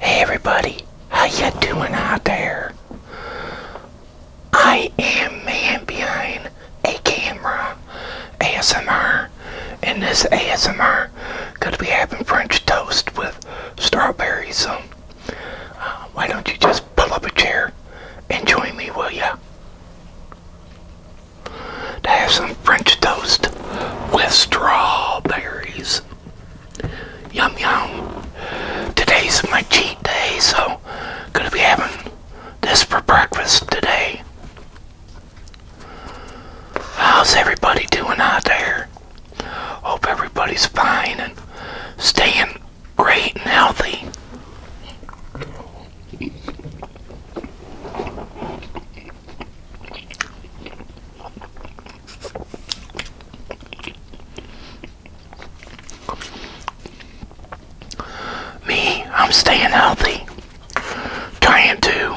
Hey everybody, how you doing out there? I am man behind a camera ASMR and this ASMR could be having French toast with strawberries so um, uh, why don't you just pull up a chair and join me will ya? To French toast with strawberries. Yum yum. Today's my cheat day, so gonna be having this for breakfast today. How's everybody doing out there? Hope everybody's fine and staying great and healthy. Me, I'm staying healthy. Trying to.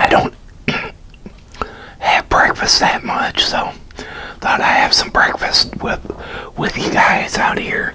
I don't have breakfast that much, so thought I would have some breakfast with with you guys out here.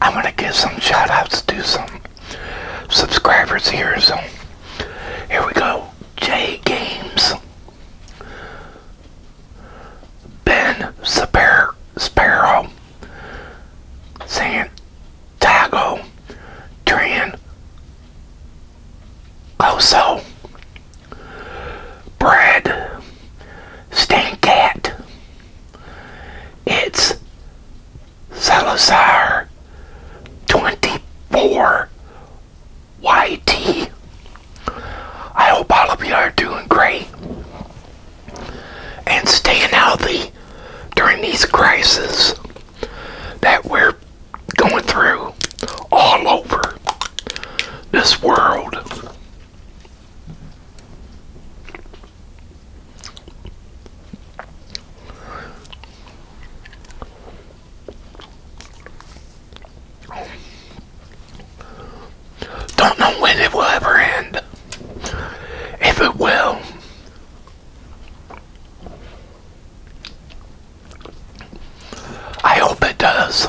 I want to give some shoutouts to some subscribers here. So here we go. J Games. Ben Spar Sparrow. Santiago Tran Coso. Brad Stancat. It's Salazar 24 YT. I hope all of you are doing great and staying healthy during these crises that we're going through all over this world. Don't know when it will ever end. If it will. I hope it does.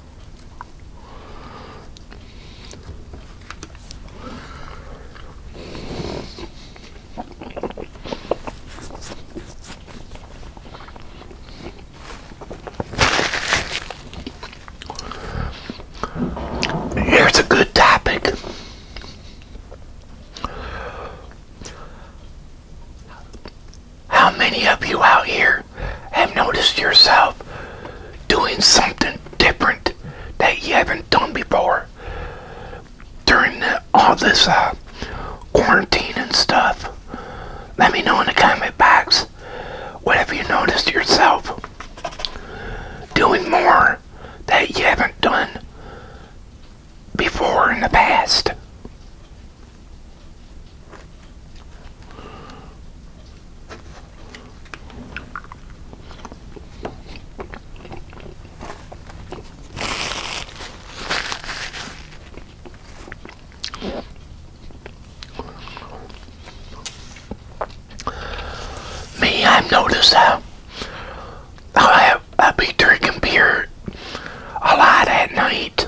Here's a good topic. How many of you out here have noticed yourself doing something different that you haven't done before during all this uh, quarantine and stuff? Let me know in the comment box what have you noticed yourself doing more that you haven't done before in the past. Me, I've noticed that I I, I be drinking beer a lot at night.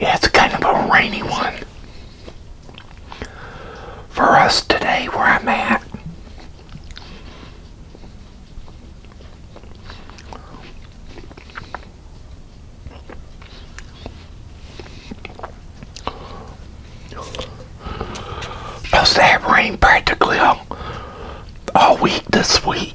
Yeah, it's kind of a rainy one for us today where I'm at. Supposed have rain practically all, all week this week.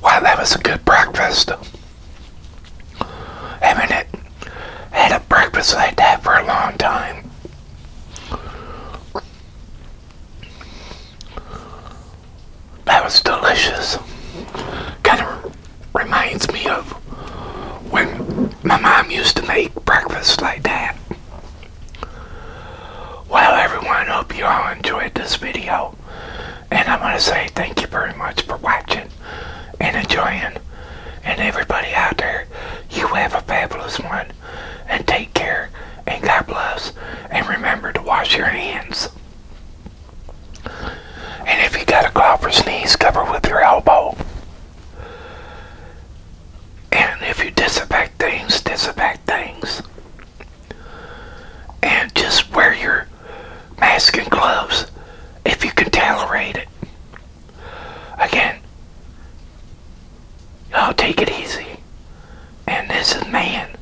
Wow, that was a good breakfast. I Haven't had a breakfast like that for a long time. That was delicious. Kind of reminds me of when my mom used to make breakfast like that. Well, everyone, hope you all enjoyed this video. And I want to say thank you very much for watching and enjoying. And everybody out there, you have a fabulous one. And take care. And God bless. And remember to wash your hands. And if you got to cough or sneeze, cover with your elbow. And if you disinfect things, disinfect things and just wear your mask and gloves if you can tolerate it. Again, I'll take it easy. And this is man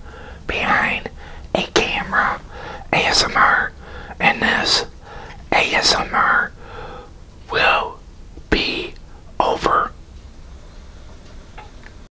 behind a camera ASMR, and this ASMR will be over.